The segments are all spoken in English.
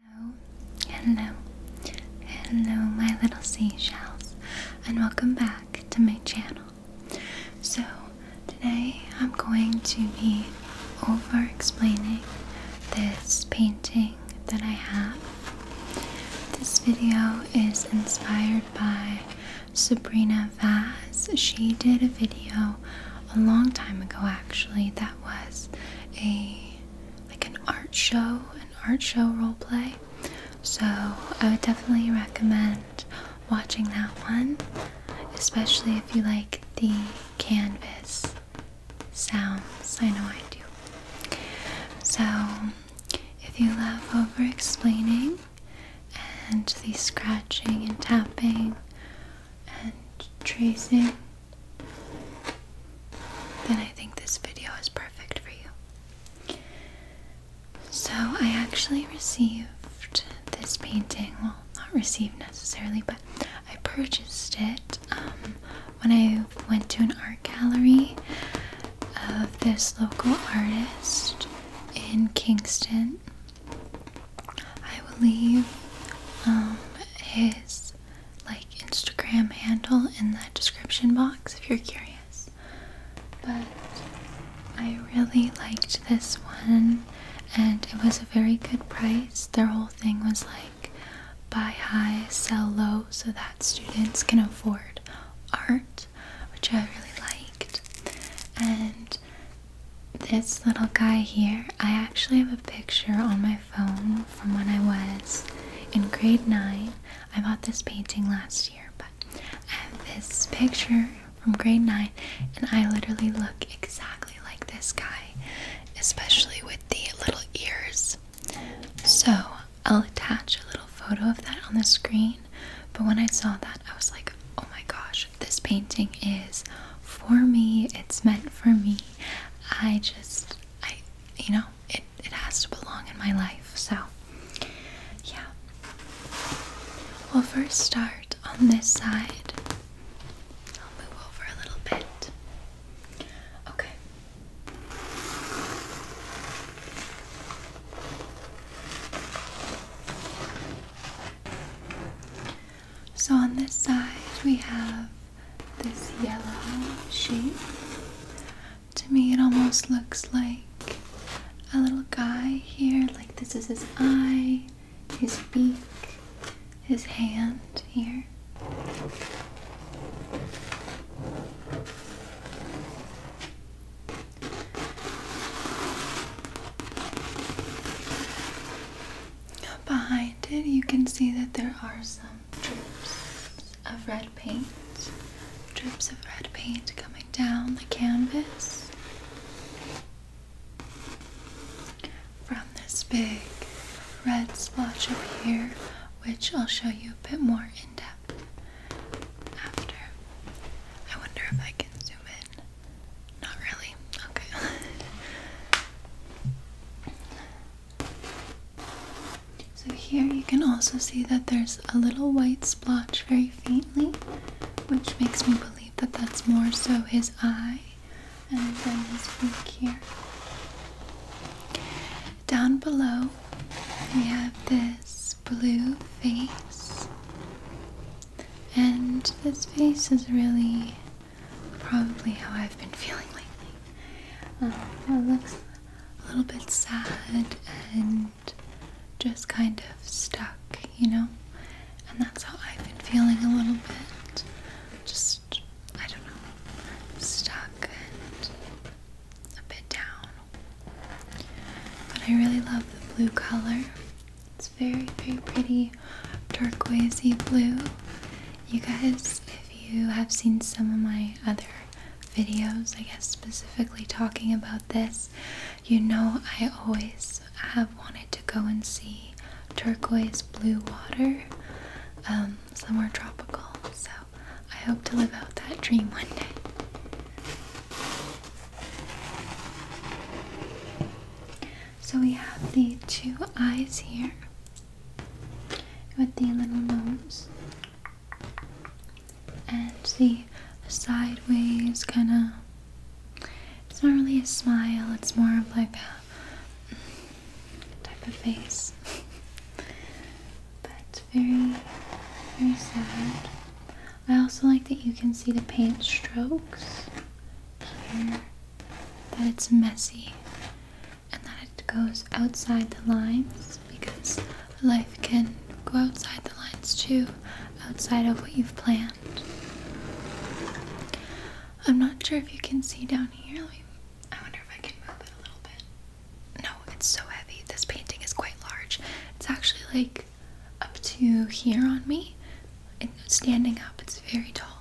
Hello, hello, hello my little seashells and welcome back to my channel. So today I'm going to be over explaining this painting that I have. This video is inspired by Sabrina Vaz. She did a video a long time ago actually that was a like an art show, an art show role play. So I would definitely recommend watching that one, especially if you like the canvas sounds. I know I do. So if you love over explaining and the scratching and tapping and tracing then I think this video is perfect for you. So, I actually received this painting, well, not received necessarily, but I purchased it um, when I went to an art gallery of this local artist in Kingston. I will leave um, his like Instagram handle in the description box if you're curious. But I really liked this one and it was a very good price. Their whole thing was like buy high, sell low so that students can afford art, which I really liked. And this little guy here, I actually have a picture on my phone from when I was in grade 9. I bought this painting last year, but I have this picture from grade 9, and I literally look exactly like this guy, especially with the little ears. So I'll attach a little photo of that on the screen, but when I saw that, I was like, oh my gosh, this painting is for me, it's meant for me. I just I, you know, it, it has to belong in my life. So, yeah. We'll first start on this side. I'll move over a little bit. Okay. So on this side, we have this yellow shape. To me, it almost looks like a little guy here. Like this is his eye, his beak, his hand here. Behind it, you can see that there are some drips of red paint, drips of red paint coming down the canvas from this big red splotch up here, which I'll show you a bit more in depth after. I wonder if I can zoom in. Not really. Okay. So here you can also see that there's a little white splotch very faintly, which makes me believe that that's more so his eye and then his beak here. Down below, we have this blue face, and this face is really probably how I've been feeling lately. Uh, it looks a little bit sad and just kind of stuck, you know? And that's how I've been feeling a little bit. Just, I don't know, stuck and a bit down. But I really love the blue color. It's very, very pretty turquoisey blue. You guys, if you have seen some of my other videos, I guess specifically talking about this, you know I always have wanted to go and see turquoise blue water um, somewhere tropical. So I hope to live out that dream one day. So we have the two eyes here with the little nose and the sideways kind of. It's not really a smile, it's more of like a type of face. but very, very sad. I also like that you can see the paint strokes here, that it's messy and that it goes outside the lines because life can go outside the lines too, outside of what you've planned. I'm not sure if you can see down here. I wonder if I can move it a little bit. No, it's so heavy. This painting is quite large. It's actually like up to here on me. standing up, it's very tall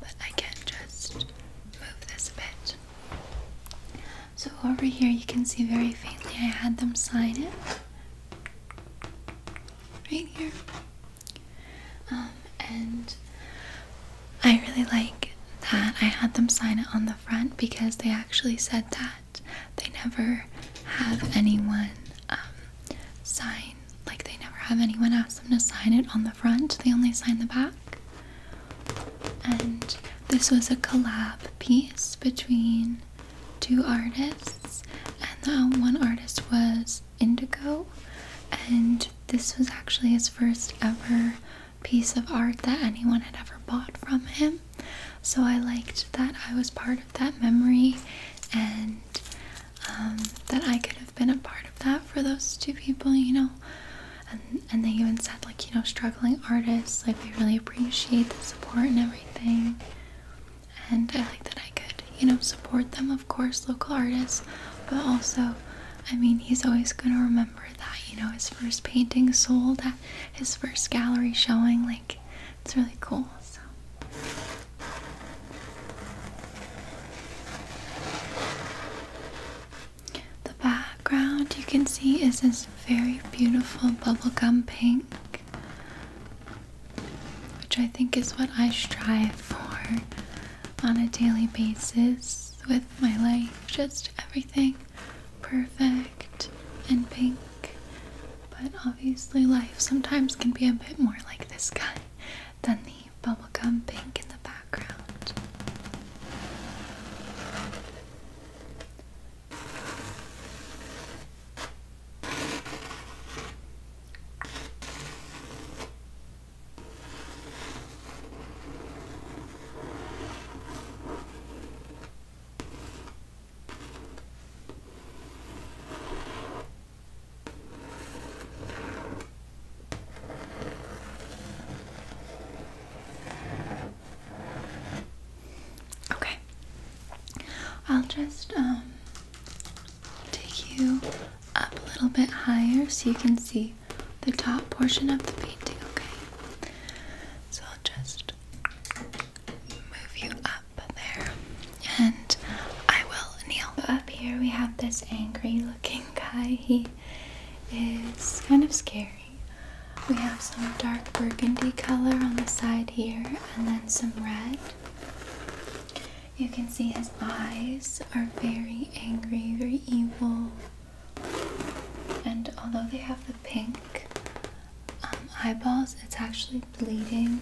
but I can just move this a bit. So over here you can see very faintly I had them sign it. Right here. Um, and I really like that I had them sign it on the front because they actually said that they never have anyone um, sign like they never have anyone ask them to sign it on the front, they only sign the back. And this was a collab piece between two artists, and that um, one artist was Indigo, and this was actually his first ever piece of art that anyone had ever bought from him. So I liked that I was part of that memory, and um, that I could have been a part of that for those two people, you know. And and they even said like, you know, struggling artists, like we really appreciate the support and everything. And I like that I could, you know, support them, of course, local artists, but also, I mean, he's always gonna remember that, you know, his first painting sold at his first gallery showing, like it's really cool. So the background you can see is this very beautiful bubblegum pink, which I think is what I strive for on a daily basis with my life. Just everything perfect and pink. But obviously, life sometimes can be a bit more like this guy than the bubblegum pink in the background. Okay. I'll just um take you up a little bit higher so you can see the top portion of the painting, okay? So I'll just move you up there and I will kneel. Up here we have this angry looking guy. He is kind of scary. We have some dark burgundy color on the side here and then some red. You can see his eyes are very angry, very evil. And although they have the pink um, eyeballs, it's actually bleeding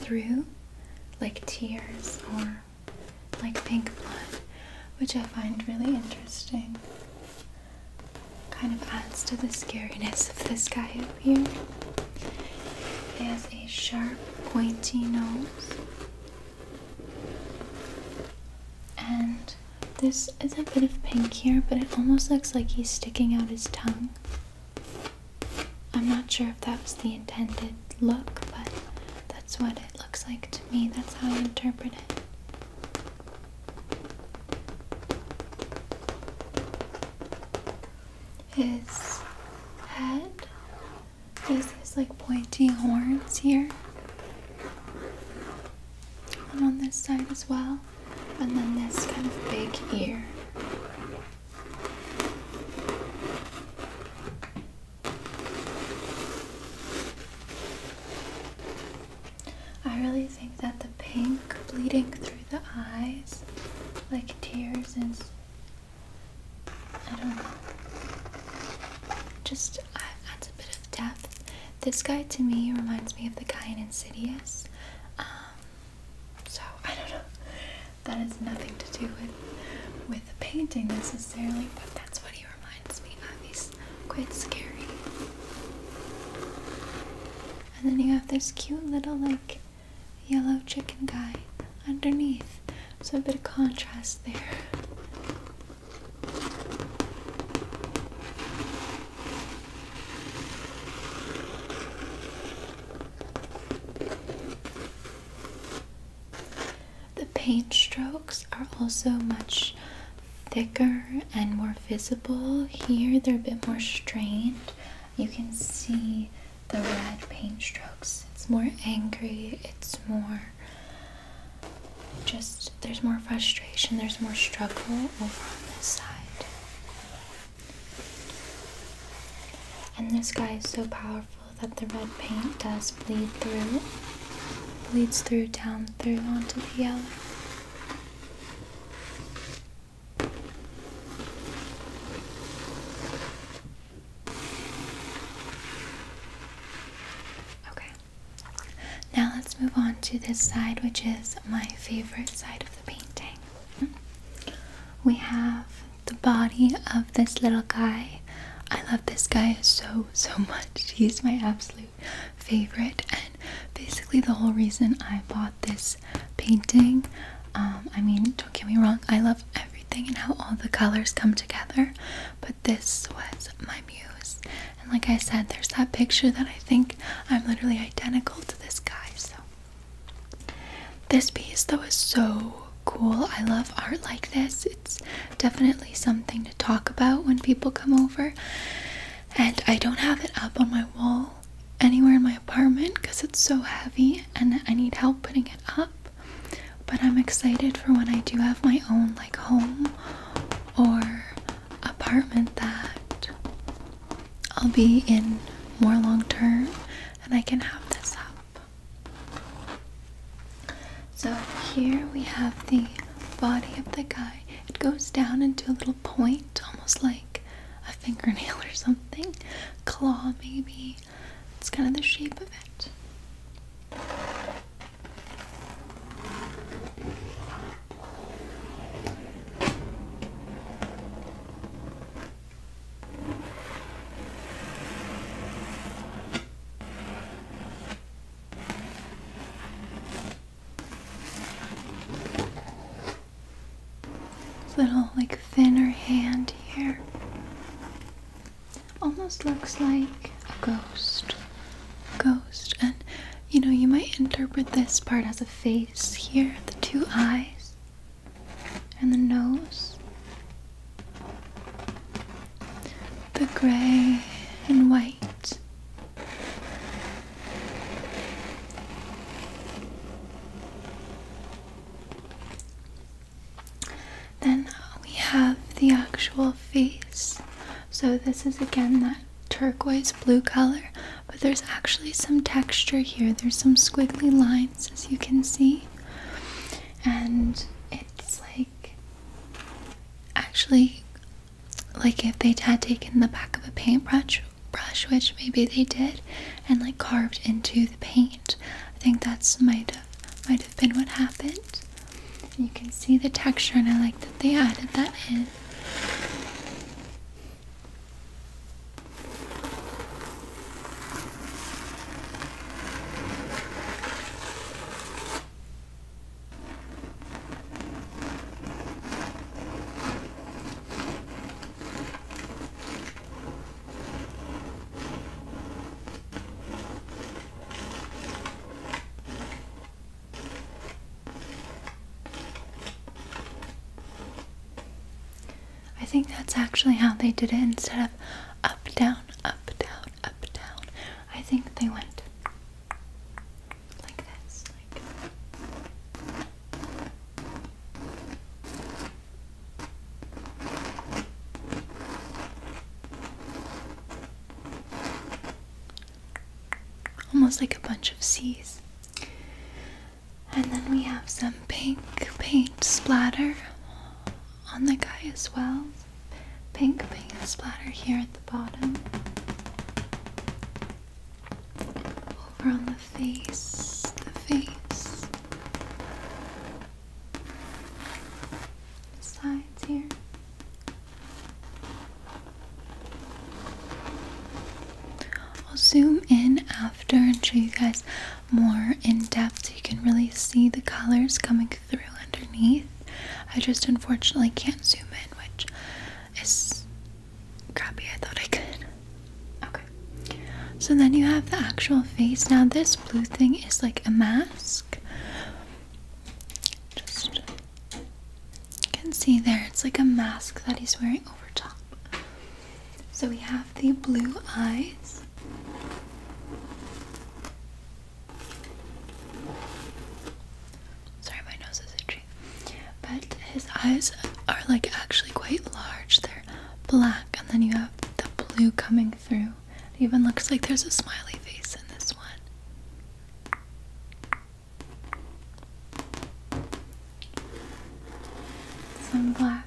through like tears or like pink blood, which I find really interesting. Kind of adds to the scariness of this guy up here. He has a sharp, pointy nose. And this is a bit of pink here, but it almost looks like he's sticking out his tongue. I'm not sure if that was the intended look, but that's what it looks like to me. That's how I interpret it. His head these like pointy horns here. And on this side as well. And then this kind of big ear. I really think that the pink bleeding through the eyes, like tears, is. I don't know. Just uh, adds a bit of depth. This guy to me reminds me of the guy in Insidious. Um, so, I don't know. That has nothing to do with with the painting necessarily, but that's what he reminds me of. He's quite scary. And then you have this cute little like yellow chicken guy underneath. So a bit of contrast there. The paint strokes are also much thicker and more visible. Here they're a bit more strained. You can see the red paint strokes. It's more angry, it's more just there's more frustration, there's more struggle over on this side. And this guy is so powerful that the red paint does bleed through, bleeds through down through onto the yellow. Okay, now let's move on to this side, which is my favorite side of the painting. Hmm? We have the body of this little guy. I love this guy so, so much. He's my absolute favorite, and basically, the whole reason I bought this painting. Um, I mean, don't get me wrong, I love everything and how all the colors come together, but this was my muse. And like I said, there's that picture that I think I'm literally identical to this guy. So, this piece though is so cool. I love art like this. It's definitely something to talk about when people come over. And I don't have it up on my wall anywhere in my apartment because it's so heavy and I need help putting it up. But I'm excited for when I do have my own like home or apartment that I'll be in more long term and I can have this up. So here we have the body of the guy. It goes down into a little point, almost like a fingernail or something. Claw, maybe. It's kind of the shape of it. Little like thinner hand here. Almost looks like a ghost. Ghost. And you know, you might interpret this part as a face here the two eyes and the nose the gray and white. Then we have the actual face. So, this is again that turquoise blue color, but there's actually some texture here. There's some squiggly lines, as you can see, and it it's like actually like if they had taken the back of a paintbrush brush which maybe they did and like carved into the paint i think that's might have might have been what happened you can see the texture and i like that they added that in I think that's actually how they did it instead of up down up, down, up, down. I think they went like this. Like Almost like a bunch of C's. And then we have some pink paint splatter on the guy as well. Pink paint splatter here at the bottom. Over on the face, the face. Sides here. I'll zoom in after and show you guys more in depth. You can really see the colors coming through underneath. I just unfortunately can't zoom in, which is crappy. I thought I could. Okay. So then you have the actual face. Now, this blue thing is like a mask. Just you can see there, it's like a mask that he's wearing over top. So we have the blue eyes. Sorry, my nose is itchy. But his eyes are like actually quite large. They're black, and then you have the blue coming through. It even looks like there's a smiley face in this one. Some black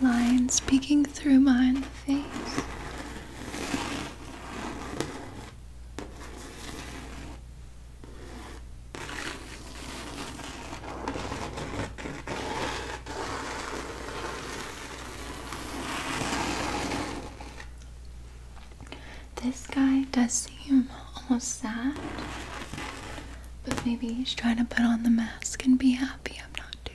lines peeking through my face. This guy does seem almost sad, but maybe he's trying to put on the mask and be happy. I'm not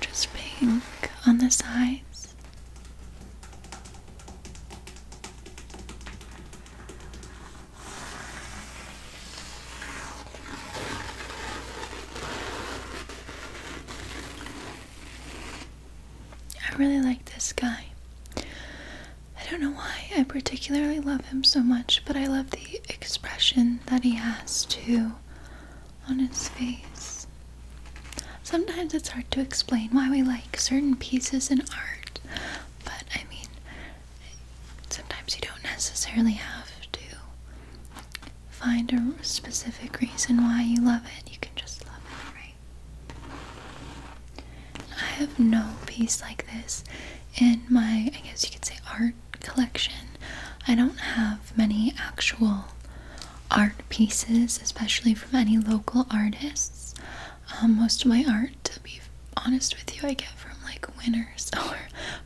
just pink on the sides. I really like this guy. I don't know why I particularly love him so much, but I love the expression that he has too on his face. Sometimes it's hard to explain why we like certain pieces in art, but I mean, sometimes you don't necessarily have to find a specific reason why you love it. You can just love it, right? I have no piece like this in my, I guess you could say, art collection. I don't have many actual art pieces, especially from any local artists. Um, most of my art, to be honest with you, I get from like winners or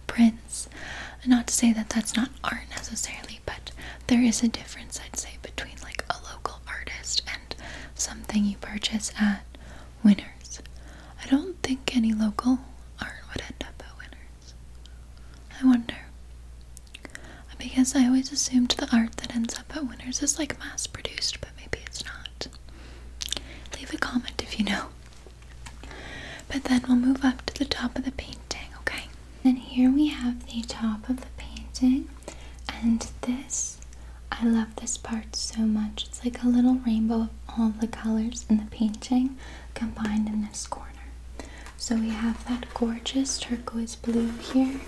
prints. Not to say that that's not art necessarily, but there is a difference, I'd say, between like a local artist and something you purchase at Winners. I don't think any local art would end up at Winners. I wonder. Because I always assumed the art that ends up at Winners is like mass produced, but maybe it's not. Leave a comment if you know. But then we'll move up to the top of the painting, okay? Then here we have the top of the painting, and this I love this part so much. It's like a little rainbow of all the colors in the painting combined in this corner. So we have that gorgeous turquoise blue here.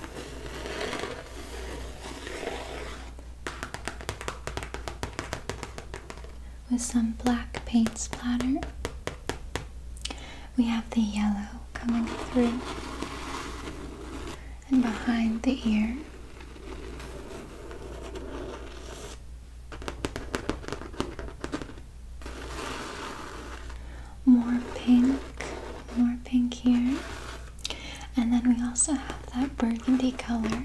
With some black paint splatter we have the yellow coming through and behind the ear. More pink, more pink here. And then we also have that burgundy color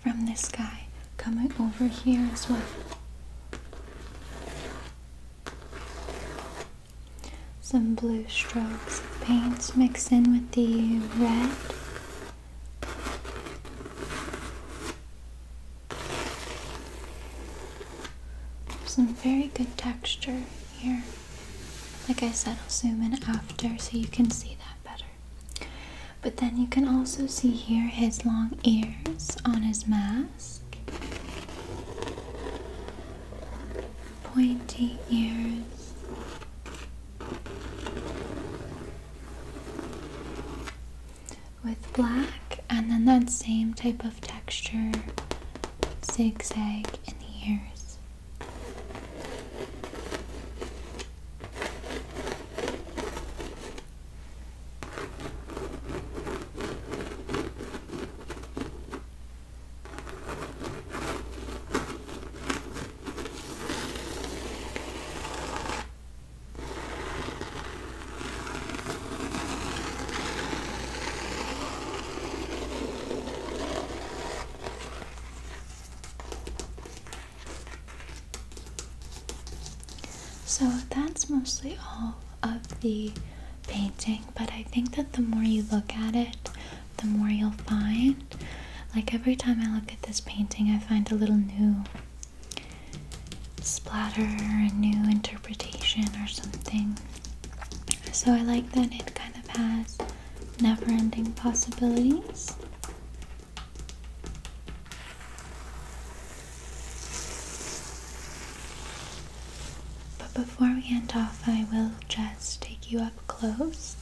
from the sky coming over here as well. Some blue strokes of paint mixed in with the red. Some very good texture here. Like I said, I'll zoom in after so you can see that better. But then you can also see here his long ears on his mask mask, pointy ears. With black, and then that same type of texture zigzag in the ears. So that's mostly all of the painting, but I think that the more you look at it, the more you'll find. Like every time I look at this painting, I find a little new splatter, a new interpretation, or something. So I like that it kind of has never ending possibilities. But before we end off, I will just take you up close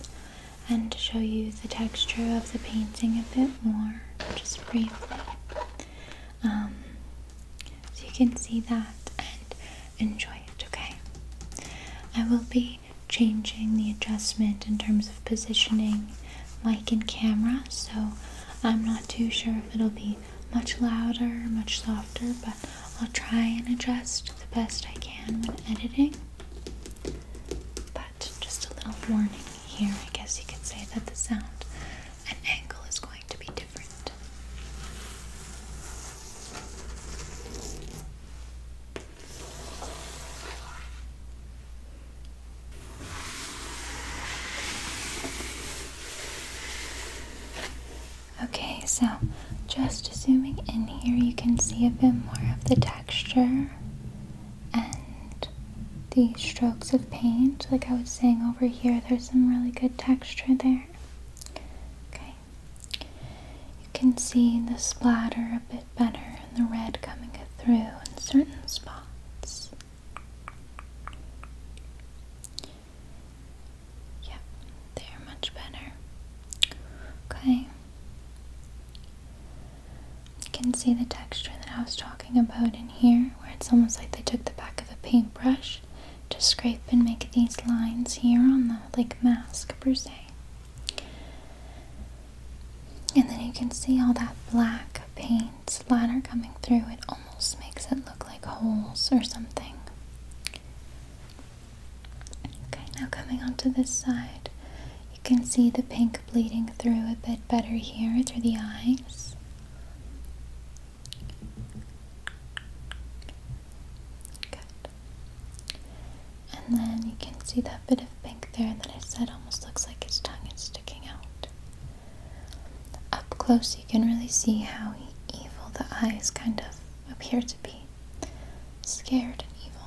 and show you the texture of the painting a bit more, just briefly. Um, so you can see that and enjoy it, okay? I will be changing the adjustment in terms of positioning mic and camera, so I'm not too sure if it'll be much louder, much softer, but I'll try and adjust the best I can when editing. But just a little warning here, I guess you could say that the sound and angle is going to be different. Okay, so just zooming in here, you can see a bit more of the texture and the strokes of paint. Like I was saying over here, there's some really good texture there. Okay, you can see the splatter a bit better and the red coming through in certain spots. Yep, they are much better. Okay. You can see the texture that I was talking about in here, where it's almost like they took the back of a paintbrush to scrape and make these lines here on the like mask per se. And then you can see all that black paint splatter coming through. It almost makes it look like holes or something. Okay, now coming onto this side, you can see the pink bleeding through a bit better here through the eyes. Good. And then you can see that bit of pink there that I said almost looks like its tongue is sticking out. Up close, you can really see how evil the eyes kind of appear to be scared and evil.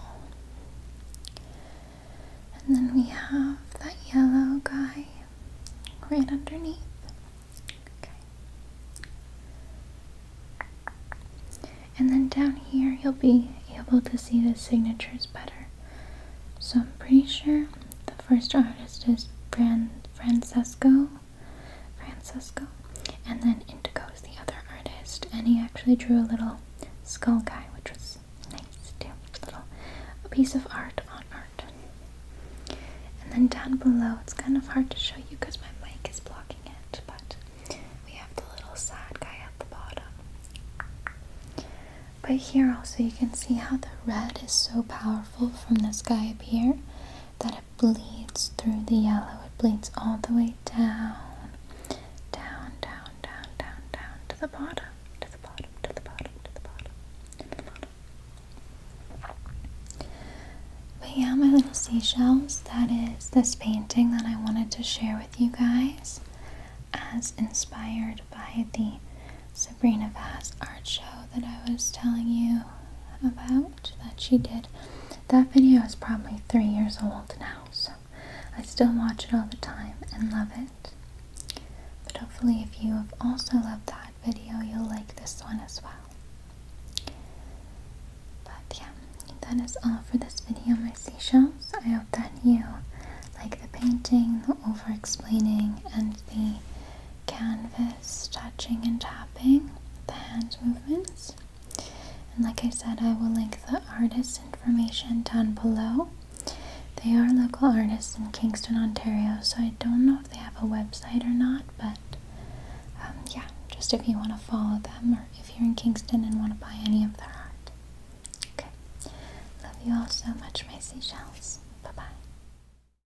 And then we have that yellow guy right underneath. And then down here, you'll be able to see the signatures better. So I'm pretty sure the first artist is Fran Francesco Francisco. And then Indigo is the other artist, and he actually drew a little skull guy, which was nice too. A little piece of art on art. And then down below, it's kind of hard to show you because my mic is blocking it, but we have the little sad guy at the bottom. But here also, you can see how the red is so powerful from this guy up here that bleeds through the yellow. It bleeds all the way down, down, down, down, down, down to the bottom, to the bottom, to the bottom, to the bottom, to the bottom. But yeah, my little seashells, that is this painting that I wanted to share with you guys as inspired by the Sabrina Vaz art show that I was telling you about that she did. That video is probably three years old now, so I still watch it all the time and love it. But hopefully, if you have also loved that video, you'll like this one as well. But yeah, that is all for this video, my seashells. I hope that you like the painting, the over explaining, and the canvas touching and tapping, the hand movements. And like I said, I will link the artist information down below. They are local artists in Kingston, Ontario, so I don't know if they have a website or not, but um, yeah, just if you want to follow them or if you're in Kingston and want to buy any of their art. Okay, love you all so much, my seashells. Bye bye.